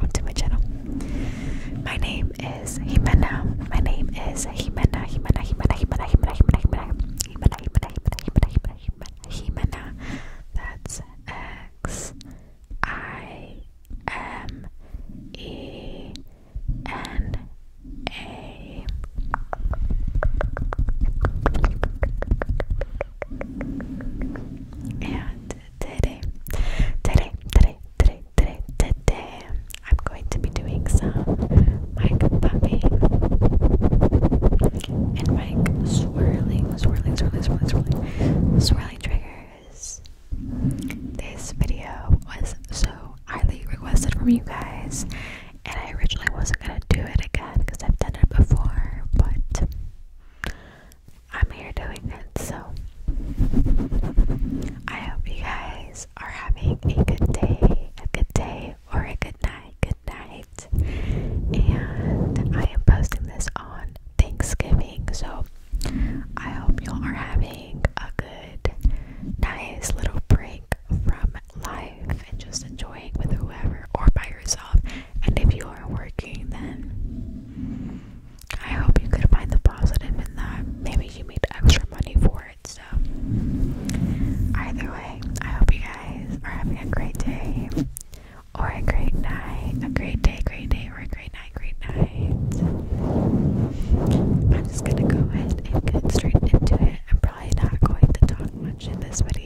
onto my channel. My name is Jimena. My name is Jimena. Jimena. Jimena. Jimena. Jimena. Jimena. Jimena. Jimena. That's X I M E N A. And today, today, today, today, today, today, I'm going to be doing some mic bumping and mic swirling, swirling, swirling, swirling, swirling, swirling triggers. This video was so highly requested from you guys, and I originally wasn't gonna do it again because I've done it before, but I'm here doing it, so I hope you guys are having a good day, a good day, or a good night, good night. And I am posting this on Thanksgiving, so I hope you are having a good, nice little break from life and just enjoying with whoever or by yourself and if you are working, then I hope you could find the positive in that. Maybe you made extra money for it. So, either way, I hope you guys are having a great day or a great night. A great day, great day, or a great night, great night. I'm just gonna go ahead and get straight into it. I'm probably not going to talk much in this video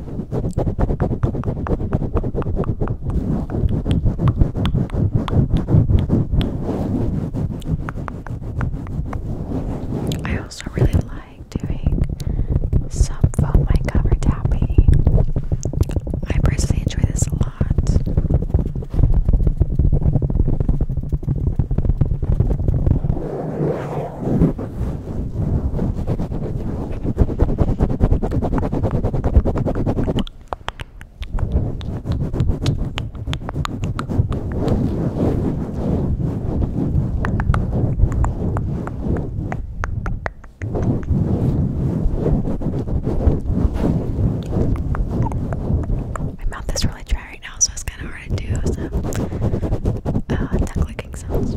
I also really like doing some foam mic cover tapping. I personally enjoy this a lot. My mouth is really dry right now, so it's kind of hard to do uh, tongue clicking sounds.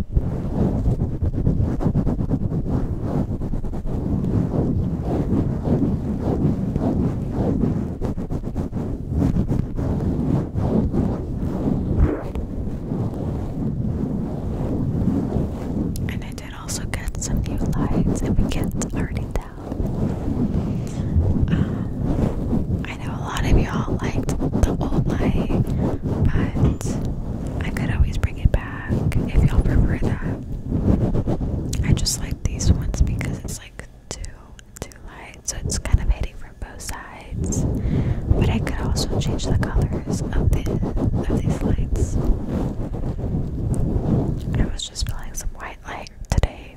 And I did also get some new lights, and we can't already tell. Um, I know a lot of y'all liked the old light, but I could always bring it back if y'all prefer that. I just like these ones because it's like too too light, so it's kind of hitting from both sides. But I could also change the colors of the of these lights. I was just feeling some white light today.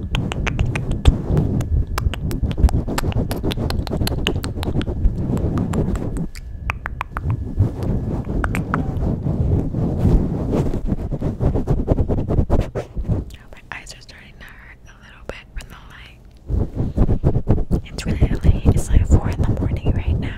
My eyes are starting to hurt a little bit from the light. It's really late. It's like four in the morning right now.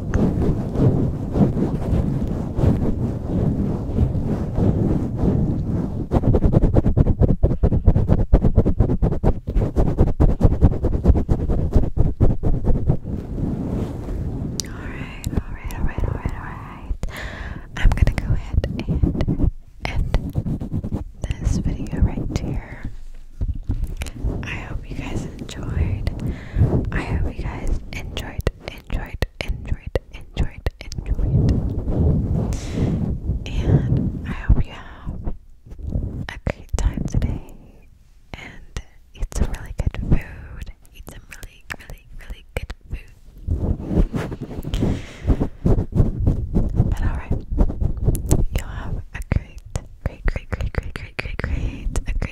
Alright, alright, alright, alright, alright. I'm gonna go ahead and end this video right here. I hope you guys enjoyed. I hope you guys enjoyed enjoyed, enjoyed, enjoyed, enjoyed, enjoyed. And I hope you have a great time today and eat some really good food. Eat some really, really, really good food. But alright, you'll have a great, great, great, great, great, great, great, great, a great